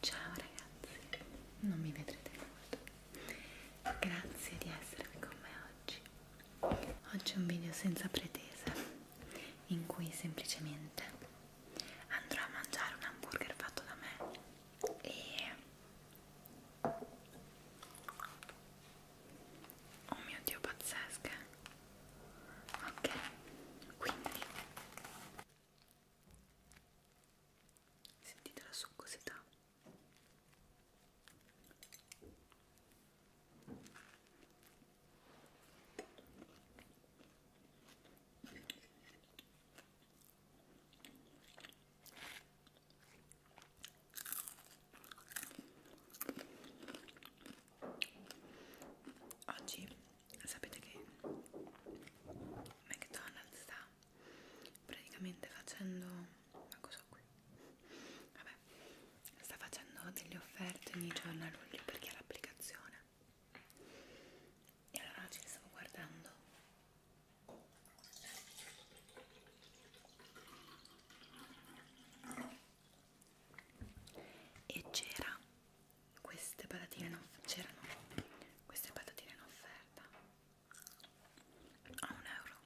Ciao ragazzi, non mi vedrete molto. Grazie di esservi con me oggi. Oggi è un video senza pretesa, in cui semplicemente andrò a mangiare un hamburger fatto da me e oh mio dio pazzesche ok quindi sentite la succosità Oggi sapete che McDonald's sta praticamente facendo ma cosa qui? Vabbè, sta facendo delle offerte ogni giorno a luglio perché ha l'applicazione. E allora oggi le stavo guardando e c'era queste patatine in c'erano queste patatine in offerta a un euro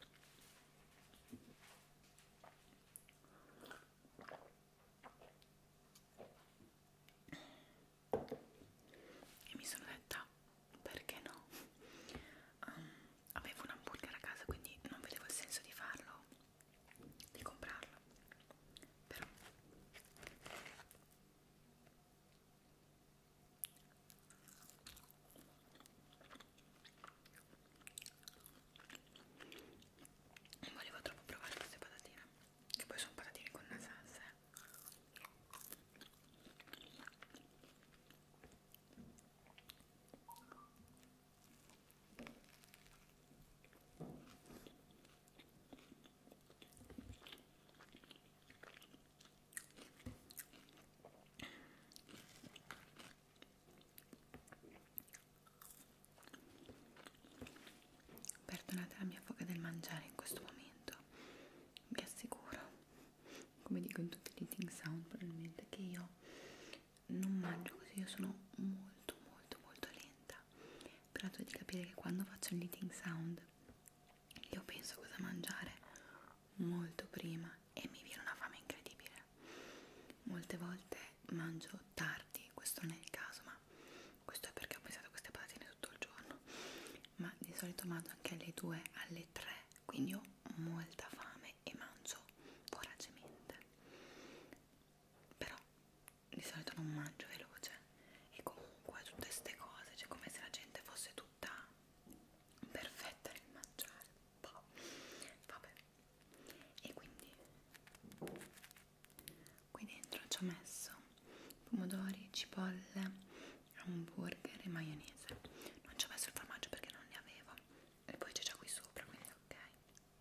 e mi sono detta perché no um, avevo un hamburger a casa quindi non vedevo il senso di farlo di comprarla però non volevo troppo provare queste patatine che poi sono patatine con una salsa eh. Perdonate la mia foga del mangiare in questo momento, vi assicuro, come dico in tutti gli eating sound probabilmente, che io non mangio così, io sono molto molto molto lenta. Però tu di capire che quando faccio il eating sound io penso cosa mangiare molto prima e mi viene una fame incredibile. Molte volte mangio tardi, questo non è il caso, ma questo è perché ho pensato a queste patatine tutto il giorno. Ma di solito mangio anche alle 2, alle 3, quindi ho molta fame e mangio voracemente però di solito non mangio veloce e comunque tutte queste cose, cioè come se la gente fosse tutta perfetta nel mangiare, boh. vabbè, e quindi qui dentro ci ho messo pomodori, cipolle, hamburger e maionese, non ci ho messo il formaggio perché non ne avevo e poi c'è già qui sopra, quindi ok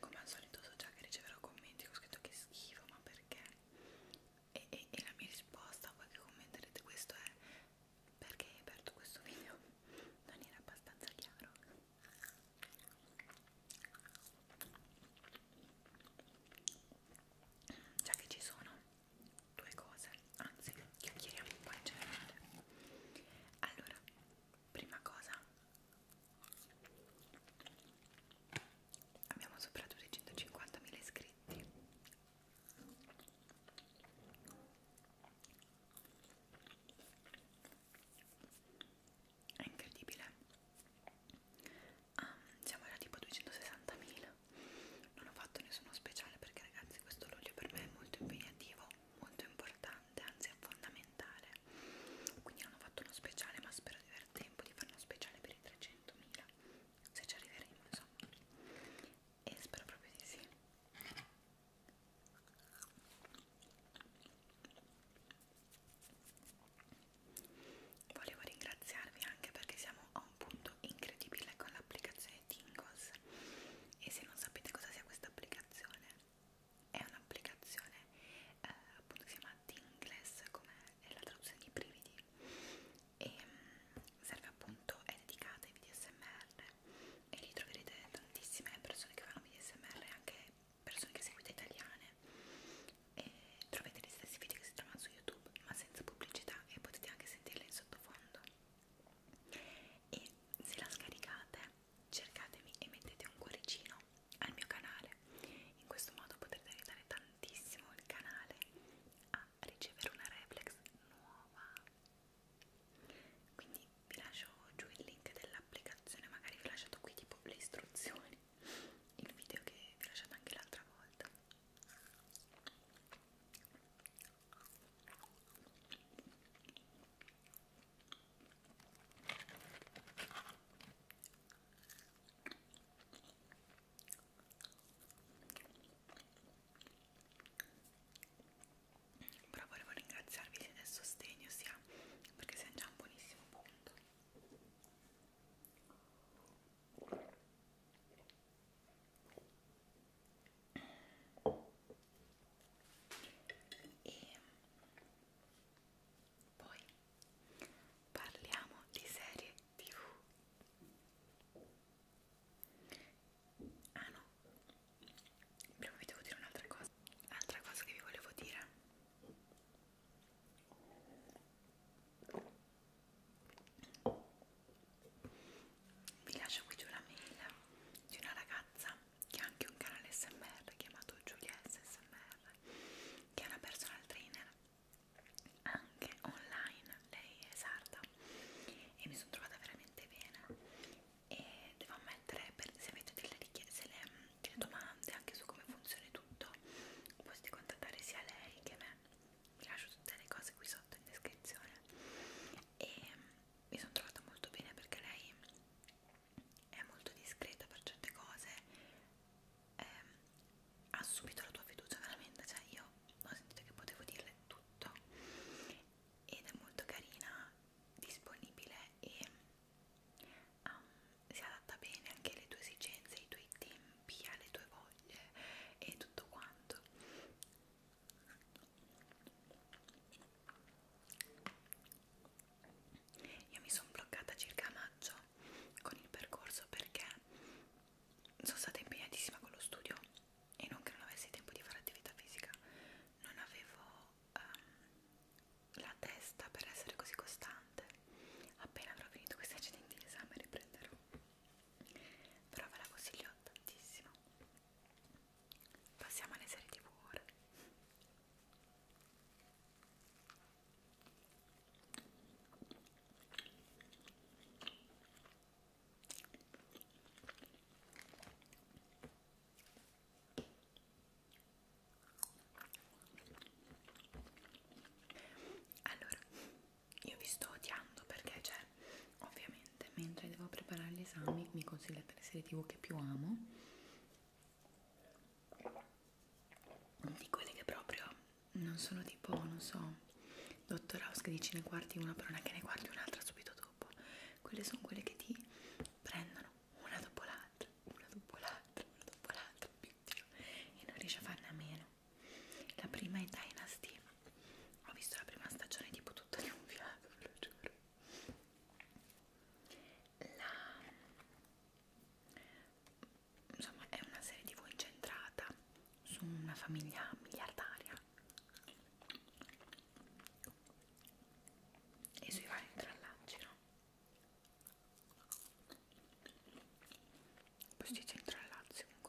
Come al solito so già che riceverò commenti ho scritto che schifo, ma perché? E, e, e la mia risposta a voi che commenterete questo è perché aperto questo video non era abbastanza chiaro già che ci sono due cose anzi chiacchieriamo un po' in generale allora prima cosa abbiamo superato i 150.000 iscritti è incredibile ah, siamo era tipo 260.000 non ho fatto nessuno speciale perché ragazzi questo olio per me è molto impegnativo molto importante anzi è fondamentale quindi non ho fatto uno speciale ma spero di aver tempo di fare uno speciale per i 300.000 se ci arriveremo insomma e spero proprio di sì volevo ringraziarvi anche perché siamo a un punto incredibile con l'applicazione Tingos e se non sapete cosa sia questa applicazione è un'applicazione eh, appunto si chiama Tingless come è la traduzione di brividi e mm, serve appunto, è dedicata ai VDSMR e lì troverete tantissime persone che fanno VDSMR e anche persone che seguite italiane e trovate gli stessi video che si trovano su YouTube ma senza pubblicità e potete anche sentirle in sottofondo e se la scaricate cercatemi e mettete un cuoricino al mio canale in questo modo potrete aiutare tantissimo il canale a ricevere una reflex nuova quindi vi lascio giù il link dell'applicazione magari vi ho lasciato qui tipo le istruzioni il video che vi ho lasciato anche l'altra volta però volevo ringraziarvi del sostegno sia perché siamo già a un buonissimo punto e poi parliamo di serie tv Ah no, prima vi devo dire un'altra cosa. Altra cosa che vi volevo dire. Vi lascio qui giù la mail di una ragazza che ha anche un canale SMR chiamato Giulia SMR, che è una personal trainer anche online. Lei è sarda e mi sono trovata veramente bene e devo ammettere per, se avete delle richieste, le, delle domande anche su come funziona tutto potete contattare sia lei che me vi lascio tutte le cose qui sotto in descrizione e mi sono trovata molto bene perché lei è molto discreta per certe cose eh, ha subito la tua fiducia veramente cioè io ho sentito che potevo dirle tutto ed è molto carina, disponibile e um, si adatta bene anche alle tue esigenze, ai tuoi tempi, alle tue voglie e tutto quanto. Io mi sono bloccata circa a maggio con il percorso perché sono stata impegnatissima con lo studio e non che non avessi tempo di fare attività fisica, non avevo um, la testa per essere così costante. Appena avrò finito questi accidenti di esame riprenderò. Però ve la consiglio tantissimo. Passiamo alle serie tv ora. Allora, io vi sto odiando perché, cioè, ovviamente, mentre devo preparare gli esami, mi consigliate le serie tv che più amo, di quelle che proprio non sono tipo, non so, Dottor House che dice ne guardi una, però non è che ne guardi un'altra subito dopo dopo quelle sono quelle che ti prendono una dopo l'altra una dopo l'altra una dopo l'altra e non riesci a farne a meno la prima è Dynasty ho visto la prima stagione tipo tutta di un fiato ve lo giuro la... insomma è una serie tv incentrata su una famiglia miliardaria e sui vari intrallaggi, no? Poi si dice intrallazzi comunque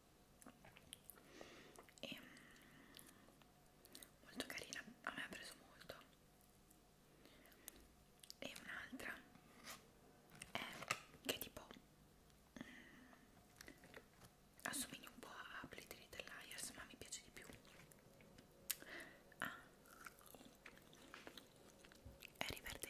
e mm, molto carina a me ha preso molto e un'altra è che tipo mm, assomiglia un po' a Plittery Liars ma mi piace di più ah è Riverdale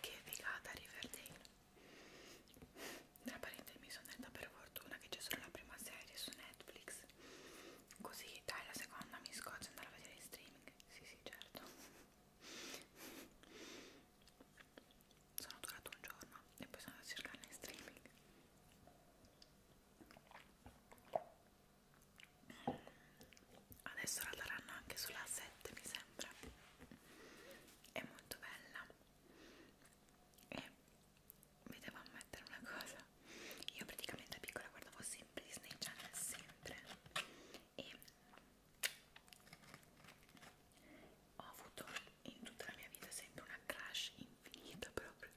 Che figata Riverdale! Tra parentesi mi sono detta per fortuna che c'è solo la prima serie su Netflix. Così dai la seconda mi scoccio andare a vedere in streaming. Sì, sì, certo sono durato un giorno e poi sono andata a cercarla in streaming adesso la daranno anche sulla 7 mi sembra è molto bella e mi devo ammettere una cosa io praticamente da piccola guardavo sempre Disney Channel sempre e ho avuto in tutta la mia vita sempre una crash infinita proprio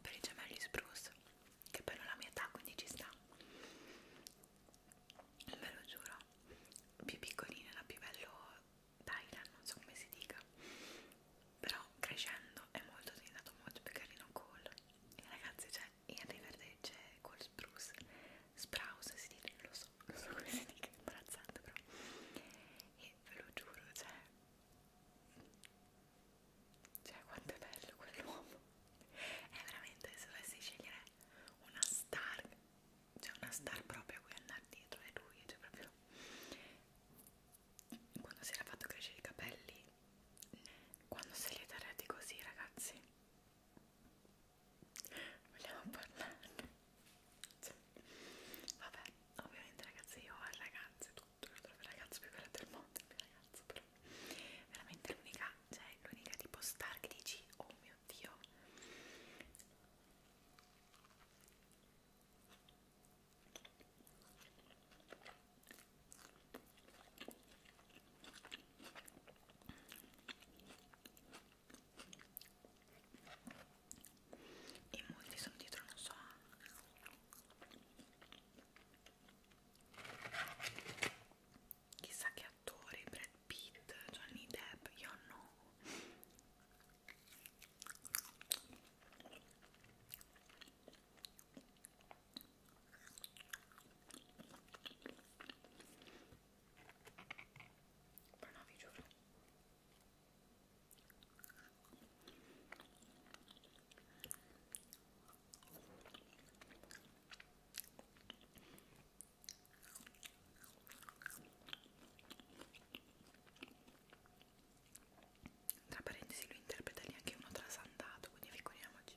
per i gemelli spruce che però la mia età quindi ci sta ve lo giuro più piccolina era più bello Dylan non so come si dica però crescendo è molto diventato molto più carino Cole e ragazzi cioè Henry Verde c'è Cole Spruce Sprouse si dice, lo so, lo so come si dica, imbarazzante però e ve lo giuro, cioè cioè quanto è bello quell'uomo è veramente, se dovessi scegliere una star cioè una star proprio a cui andare dietro è lui, cioè proprio quando si era fatto crescere i capelli quando se li darete così, ragazzi, vogliamo parlarne. Cioè, vabbè, ovviamente, ragazzi, io ho ragazze, tutto il ragazzo più bello del mondo, il mio ragazzo, però veramente l'unica, cioè l'unica tipo star che dici, oh mio dio e molti sono dietro non so chissà che attori Brad Pitt Johnny Depp io no ma no, vi giuro. Tra parentesi, lui interpreta lì anche uno trasandato, quindi figuriamoci.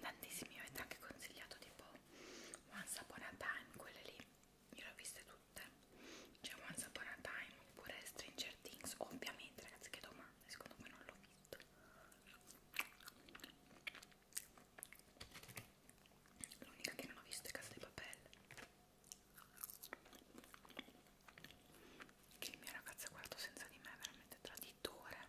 tantissimi mi avete anche consigliato tipo Once Upon a Time quelle lì io le ho viste tutte c'è cioè, Once Upon a Time oppure Stranger Things ovviamente ragazzi che domande secondo me non l'ho visto l'unica che non ho visto è Casa di Papel che il mio ragazzo ha guardato senza di me è veramente traditore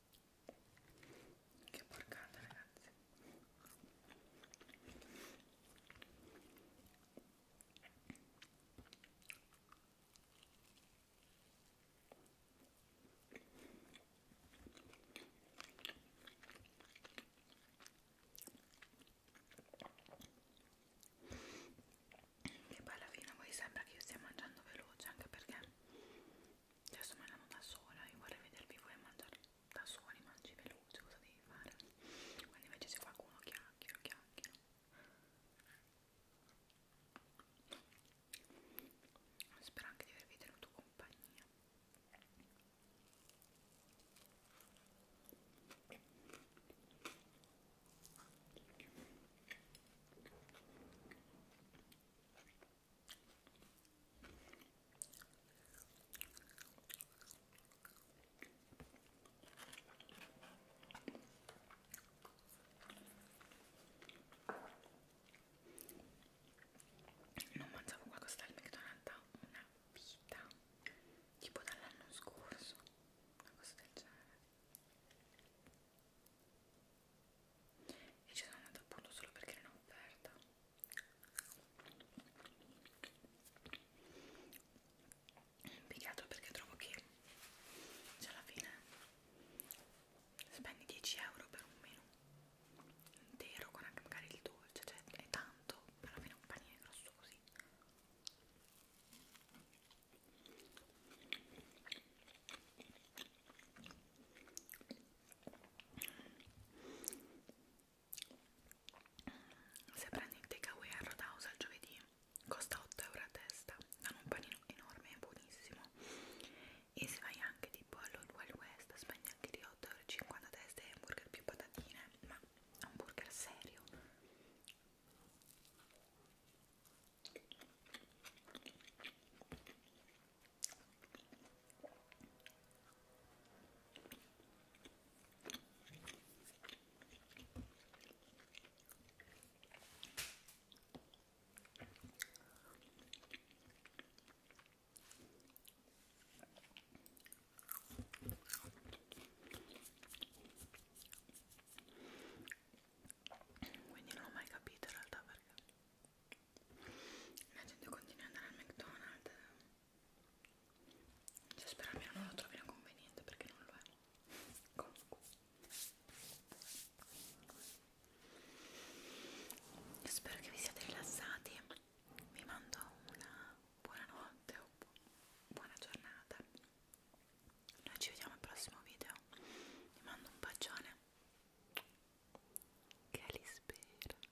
Che porcata ragazzi e poi alla fine voi sembra che io stia mangiando veloce anche perché adesso mangiamo da sola io vorrei vedervi voi mangiare da soli mangi veloce cosa devi fare quando invece se qualcuno chiacchiera chiacchiera spero anche di avervi tenuto compagnia non mangiavo qualcosa dal McDonald's da una vita, tipo dall'anno scorso, una cosa del genere. E ci sono andata appunto solo perché era un'offerta più che altro perché trovo che cioè alla fine spendi 10 euro per un menù intero con anche magari il dolce cioè è tanto per almeno un panino grosso così se prendi il takeaway a Roadhouse al giovedì costa 8 euro a testa, danno un panino enorme e buonissimo. E se vai anche tipo allo Wild West spendi anche di 8,50 euro a testa e hamburger più patatine, ma hamburger serio. Quindi non ho mai capito in realtà perché la gente continua ad andare al McDonald's cioè spero almeno non lo trovino conveniente perché non lo è comunque spero che vi siate rilassati vi mando una buonanotte o bu buona giornata noi ci vediamo al prossimo video vi mando un bacione che li spero